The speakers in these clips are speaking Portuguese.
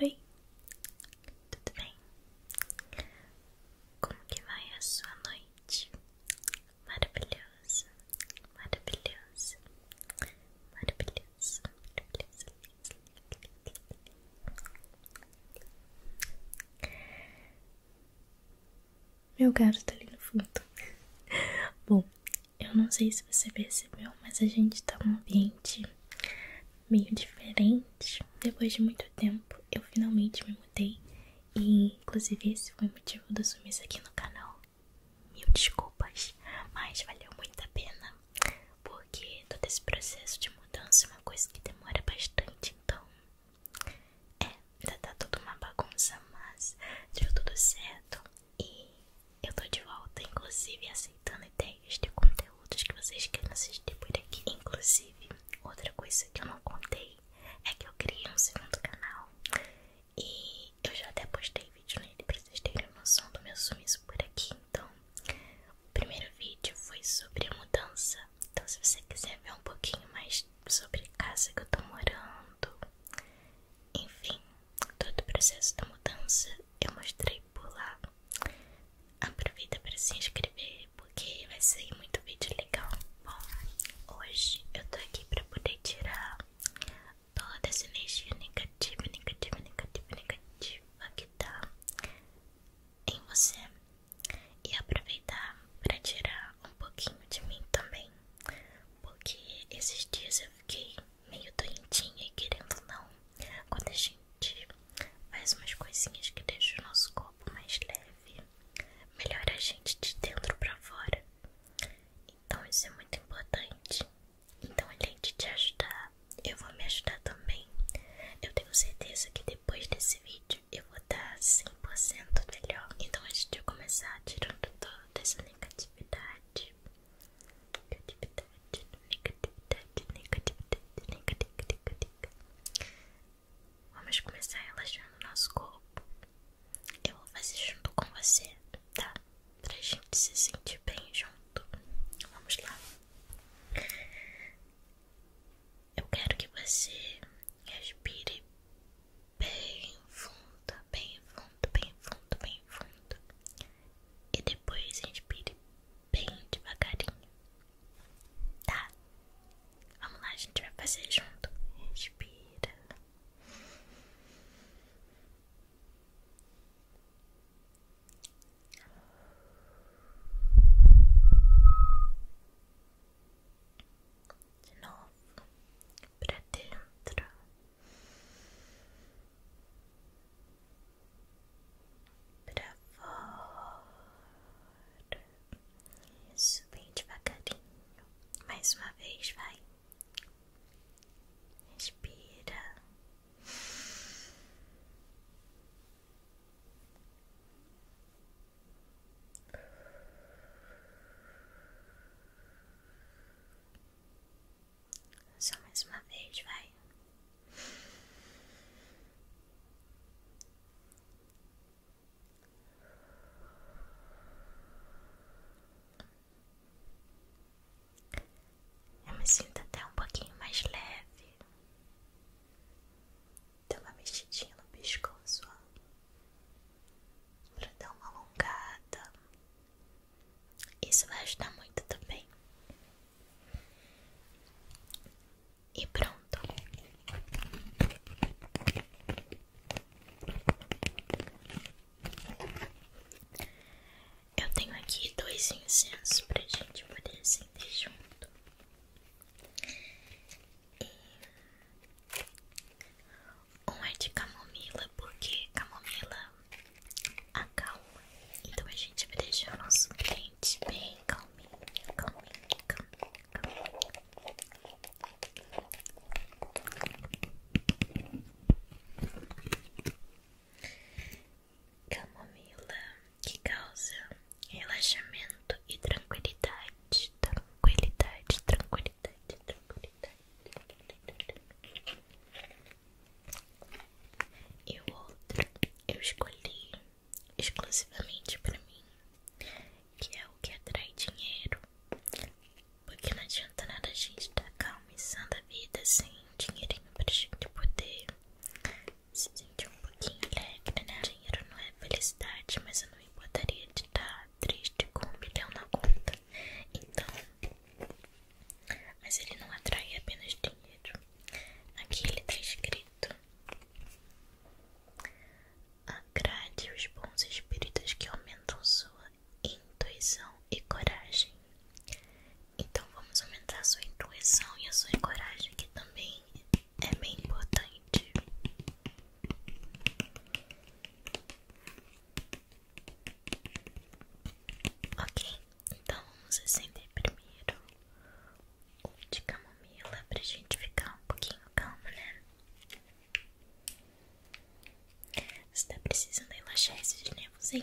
Oi, tudo bem? Como que vai a sua noite? Maravilhosa, maravilhosa, maravilhosa, maravilhosa. Meu gato tá ali no fundo. Bom, eu não sei se você percebeu, mas a gente tá num ambiente meio diferente. Depois de muito tempo, eu finalmente me mudei. E inclusive esse foi o motivo do sumiço aqui no canal. Mil desculpas, mas valeu muito a pena. Porque todo esse processo de mudança é uma coisa que demora bastante, então. É, ainda tá tudo uma bagunça, mas deu tudo certo. E eu tô de volta, inclusive aceitando ideias de conteúdos que vocês querem assistir por aqui. Inclusive, outra coisa que eu não contei é que eu criei um segundo canal e eu já até postei vídeo nele pra vocês terem noção do meu sumiço por aqui. Então, o primeiro vídeo foi sobre a mudança. Então, se você quiser ver um pouquinho mais sobre a casa que eu tô morando enfim, todo o processo da mudança eu mostrei por lá. Aproveita para se inscrever porque vai sair muito vídeo legal. Bom, hoje eu tô aqui para poder tirar toda essa energia negativa, negativa, negativa, negativa que tá em você e aproveitar para tirar um pouquinho de mim também, porque esses dias fiquei meio doentinha e querendo não. Quando a gente faz umas coisinhas que deixam o nosso corpo mais leve, melhora a gente de dentro pra fora. Então isso é muito importante. Então além de te ajudar, eu vou me ajudar também. Eu tenho certeza que depois desse vídeo eu vou estar 100% melhor. Então a gente vai começar tirando todo dessa negatividade. Negatividade, negatividade, negatividade, negatividade. Vamos começar relaxando o nosso corpo. Eu vou fazer junto com você, tá? Pra gente se sentir bem junto. Vamos lá. Eu quero que você respire bem fundo, bem fundo, bem fundo, bem fundo. E depois inspire bem devagarinho. Tá? Vamos lá, a gente vai fazer junto. Inspira. De novo para dentro pra fora, isso bem devagarinho, mais uma vez, vai, Respira só mais uma vez, vai. Eu me sinto até um pouquinho mais leve. Dá uma mexidinha no pescoço. Ó para dar uma alongada. Isso vai ajudar muito também. E pronto. Eu tenho aqui dois incensos pra gente poder sentir junto. Um é de camomila, porque camomila acalma. Então a gente vai deixar o nosso cliente bem calminho, calminho, calminho, calminho. Camomila que causa relaxamento e tranquilidade, tranquilidade, tranquilidade, tranquilidade. E o outro eu escolhi exclusivamente para mim, que é o que atrai dinheiro. Porque não adianta nada a gente estar tá calma e sã da vida sem dinheirinho pra gente poder se sentir um pouquinho alegre, né? Dinheiro não é felicidade, mas eu não me importaria de está triste com um bilhão na conta. Então, mas ele não atrai apenas dinheiro. Aqui ele está escrito: Agrade os bons espíritos que aumentam sua intuição e coragem. Então vamos aumentar sua intuição e a sua coragem, que também é bem importante. Ok, então vamos acender primeiro o de camomila pra gente ficar um pouquinho calmo, né? Você tá precisando relaxar esses nervos, hein?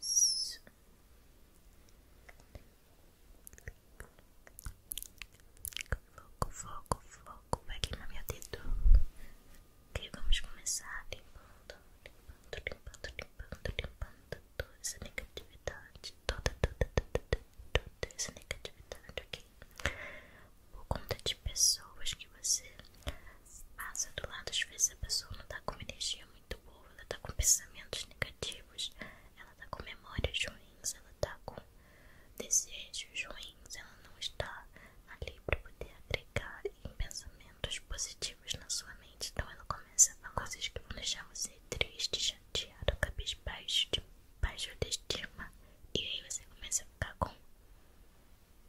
Isso. Foco, foco, foco. Vai na minha dedo. Ok, vamos começar limpando, limpando, limpando, limpando, limpando toda essa negatividade. Toda, toda, toda, toda, essa negatividade, ok? Por conta de pessoas que você passa do lado, às vezes a pessoa não tá com uma energia muito boa, ela tá com pensamentos negativos, ela tá com memórias ruins, ela tá com desejos ruins, ela não está ali para poder agregar em pensamentos positivos na sua mente. Então ela começa a coisas que vão deixar você triste, chateado, cabisbaixo, de baixa autoestima. E aí você começa a ficar com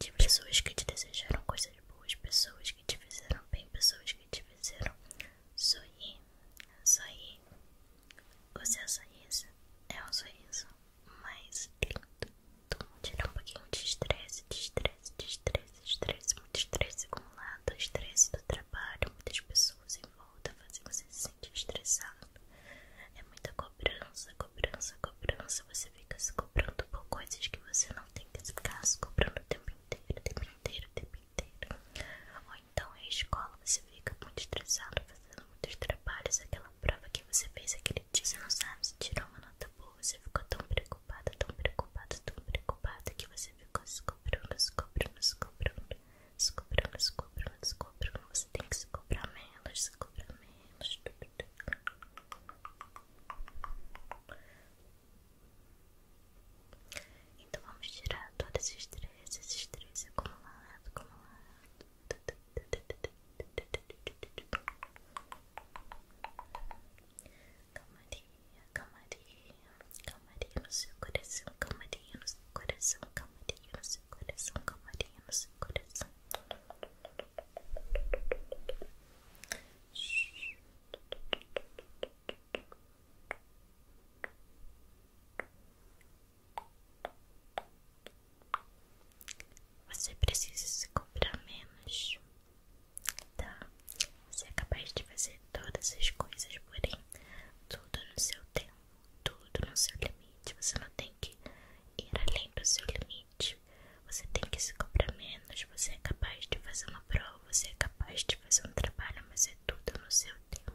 de pessoas que te desejaram coisas boas, pessoas que te fizeram bem, pessoas que te fizeram sorrir, sorrir. O seu sorriso é um sorriso mas lindo todo mundo. tirando um pouquinho de estresse, de estresse, de estresse, estresse, muito estresse acumulado, estresse do trabalho, muitas pessoas em volta fazendo você se sentir estressado. É muita cobrança, cobrança, cobrança. Você fica se cobrando por coisas que você não tem tem que ficar se cobrando o tempo inteiro, o tempo inteiro, o tempo inteiro. Ou então a escola você fica muito estressado, fazendo muitos trabalhos, aquela prova que você fez aquele dia, você não sabe se tirou uma nota boa, você ficou tão preocupada, tão preocupada, tão preocupada que você ficou se cobrando, se cobrando, se cobrando, se cobrando, se cobrando, se cobrando. Você tem que se cobrar menos, se cobrar menos, tudo então vamos tirar todo esse estresse, esse estresse acumulado, acumulado. Calmaria, calmaria, calmaria no seu coração, calmaria no seu coração, calmaria no seu coração, calmaria no seu coração. Você precisa se comprar menos, tá? Você é capaz de fazer todas as coisas, porém, tudo no seu tempo, tudo no seu limite. Você não tem que ir além do seu limite. Você tem que se cobrar menos. Você é capaz de fazer uma prova, você é capaz de fazer um trabalho, mas é tudo no seu tempo.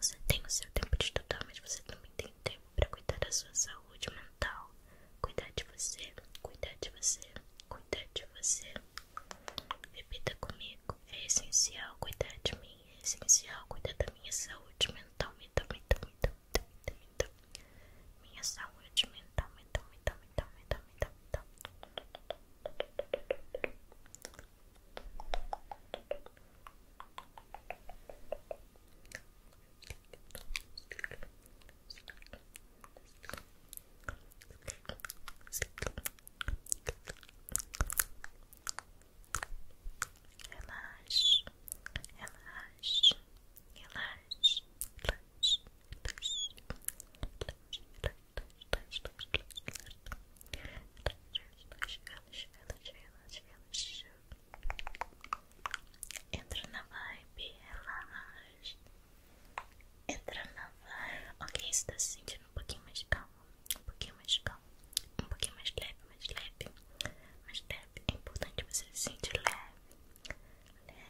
Você tem o seu tempo de estudar, mas você também tem tempo para cuidar da sua saúde mental. Cuidar de você, cuidar de você, cuidar de você. Repita comigo: é essencial cuidar de mim, é essencial cuidar da minha saúde mental, mental, mental, mental então, então, então, minha saúde mental, mental, mental, mental, mental, mental, mental. Relaxa, relaxa, relaxa, relaxa, relaxe, relaxe, relaxe, relaxe, relaxe, relaxe, Entra na vibe, relaxa. Entra na vibe. Ok, você tá se sentindo um pouquinho mais calmo, um pouquinho mais calmo, um pouquinho mais leve, mais leve, mais leve. É importante você se sentir leve leve.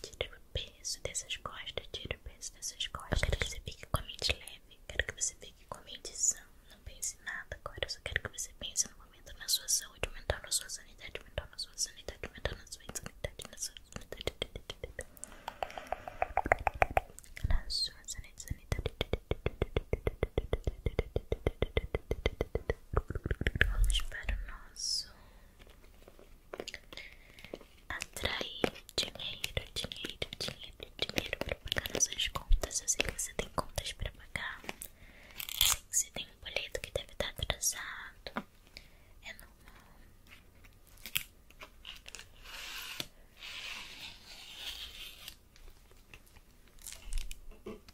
Tira o peso dessas costas, tira o peso dessas costas. quero que você fique com a mente leve, quero que você fique com a mente sã. Não pense em nada agora, só quero que você pense no momento na sua saúde mental, na sua sanidade mental, na sua sanidade mental, na sua sanidade, na sua sanidade. Na sua sanidade, sanidade. Vamos para o nosso atrair dinheiro, dinheiro, dinheiro, dinheiro para pagar nossas contas. Eu sei que você tem contas para pagar, eu sei que você tem um boleto que deve estar atrasado. É normal.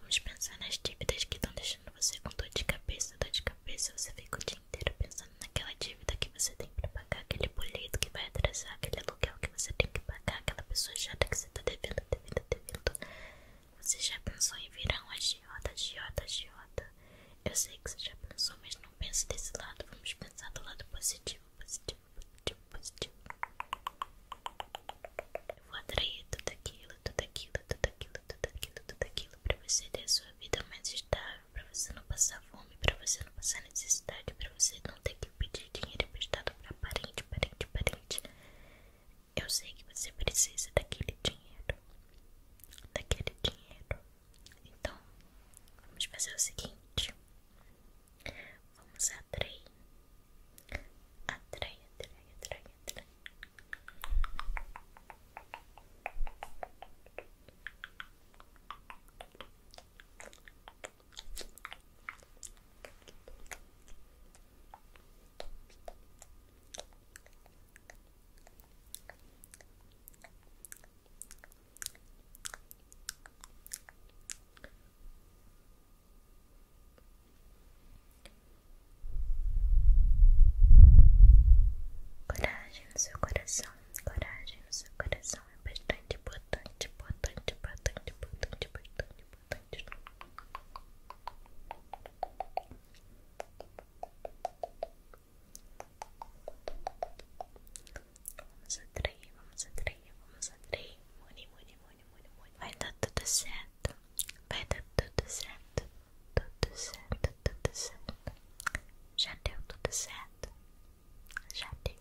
Vamos pensar nas dívidas que estão deixando você com dor de cabeça, dor de cabeça, você fica o inteiro pensando naquela dívida que você tem pra pagar, aquele boleto que vai atrasar, aquele aluguel que você tem que pagar, aquela pessoa chata que você tá devendo, devendo, devendo. Você já pensou em virar um agiota, agiota, agiota? Eu sei que você já pensou, mas não pense desse lado. Vamos pensar do lado positivo, positivo, positivo, positivo. Eu vou atrair tudo aquilo, tudo aquilo, tudo aquilo, tudo aquilo, tudo aquilo pra você ter a sua vida mais estável pra você não passar fome, pra você não passar necessidade, pra você não ter que pedir dinheiro emprestado pra parente, parente, parente. Eu sei que você precisa daquele dinheiro, daquele dinheiro. Então, vamos fazer o seguinte: vamos atrair, atrair, atrair, atrair, atrair. Coragem no seu coração, coragem no seu coração hidratação é bastante importante, importante, importante, importante, importante, Vamos atrair, vamos atrair, vamos atrair. Muni, muni, muni, muni, muni. Vai dar tudo certo. Vai dar tudo certo. Tudo certo, tudo certo. Já deu tudo certo. Já deu,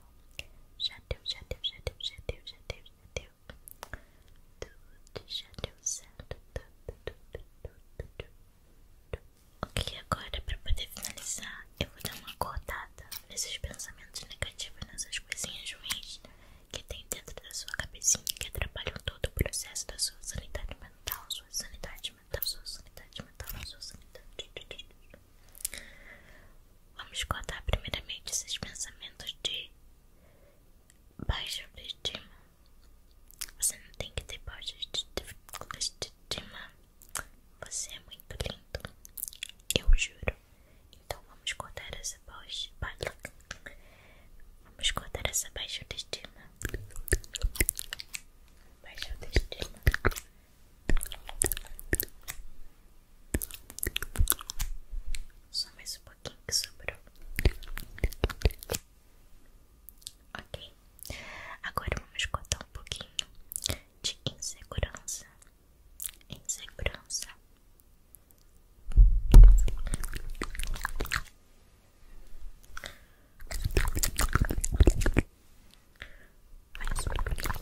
já deu, já deu, já deu, já deu, já deu, já deu. Tudo já deu certo. Ok, agora para poder finalizar, eu vou dar uma cortada nesses pensamentos negativos, nessas coisinhas ruins que tem dentro da sua cabecinha que atrapalham todo o processo da sua sanidade mental, sua sanidade sanidade mental, sua sanidade mental, sua sanidade. Vamos cortar primeiramente esses pensamentos de baixa autoestima. Você não tem que ter baixa autoestima. Você é muito lindo, eu juro. Então vamos cortar essa baixa. Vamos cortar essa baixa autoestima. Baixa autoestima. Só mais um pouquinho que sobrou. Ok, agora vamos cortar um pouquinho de insegurança. Insegurança. Mais um pouquinho.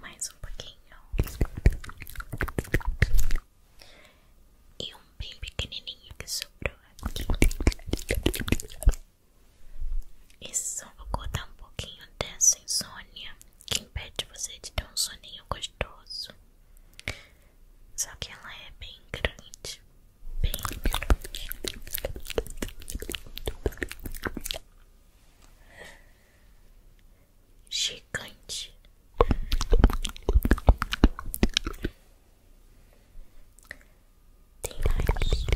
Mais um pouquinho. E um bem pequenininho que sobrou aqui. Isso vou cortar um pouquinho dessa insônia que impede você de ter um soninho gostoso. Só que ela é bem grande. Gigante. Tem nariz.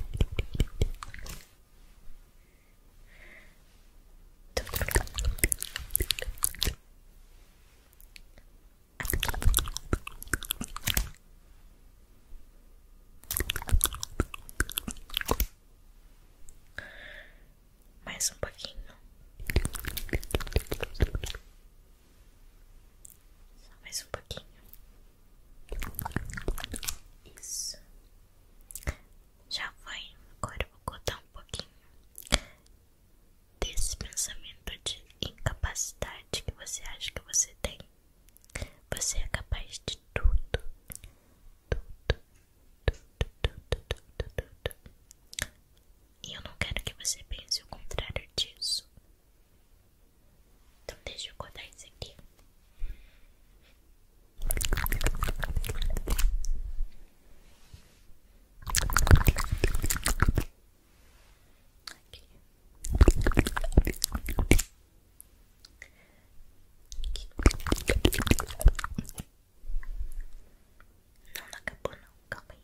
Mais um pouquinho. Só mais um pouquinho. Isso. Já foi. Agora eu vou cortar um pouquinho desse pensamento de incapacidade que você acha que você tem. Você é capaz de tudo. Tudo, tudo, tudo, tudo, tudo. E eu não quero que você pense o contrário disso. Então deixa eu cortar isso aqui. Aqui. Não, não acabou não, calma aí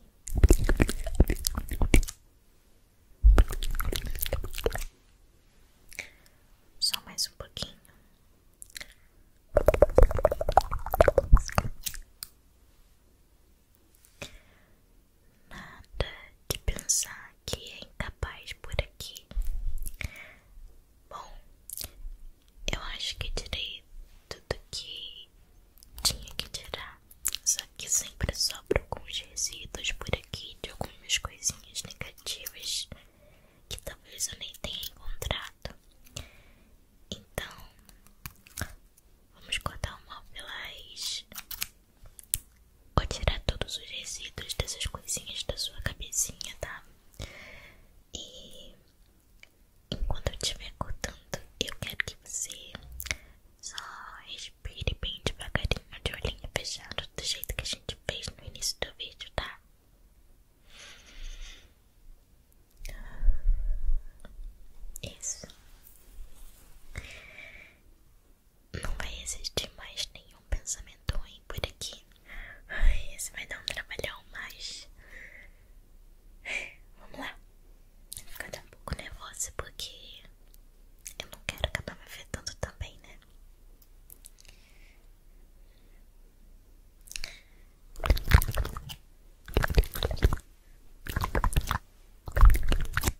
Só mais um pouquinho Nada de pensar que é incapaz por aqui. Bom, eu acho que tirei tudo que tinha que tirar. Só que sempre sobra alguns resíduos por aqui de algumas coisinhas negativas que talvez eu nem tenha encontrado. Então, Vamos cortar o mal pelas. Vou tirar todos os resíduos dessas coisinhas da sua cabecinha, tá? E enquanto eu estiver cortando, eu quero que você só respire bem devagarinho, de olhinho fechada, do jeito que a gente fez no início do vídeo, tá? Isso. Não vai existir mais nenhum pensamento ruim por aqui. Ai, esse vai dar um trabalhão, mas. Vamos lá. Vou ficar um pouco nervosa porque eu não quero acabar me afetando também, né?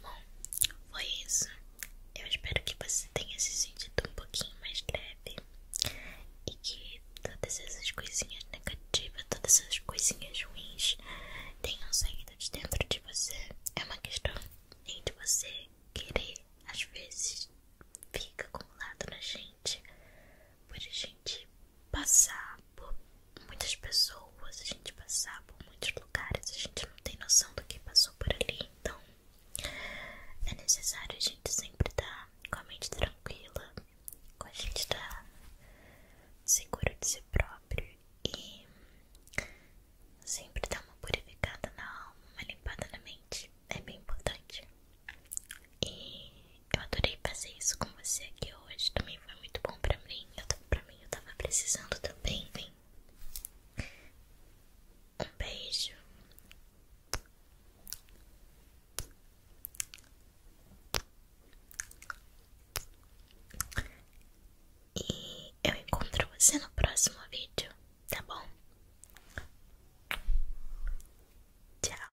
Bom, foi isso. Eu espero que você tenha se sentido um pouquinho mais leve e que todas essas coisinhas negativas, todas essas coisinhas ruins tenham saído de dentro de você. É uma questão de você querer, às vezes fica acumulado na gente, por a gente passar por muitas pessoas, a gente passar por muitos lugares, a gente não tem noção do que passou por ali, então é necessário a gente sempre estar tá com a mente tranquila, com a gente estar tá seguro de si próprio e sempre dar uma purificada na alma, uma limpada na mente, é bem importante. Eu adorei fazer isso com você aqui hoje. Também foi muito bom pra mim. Eu, pra mim, eu tava precisando também, vem. Um beijo. E eu encontro você no próximo vídeo, tá bom? Tchau.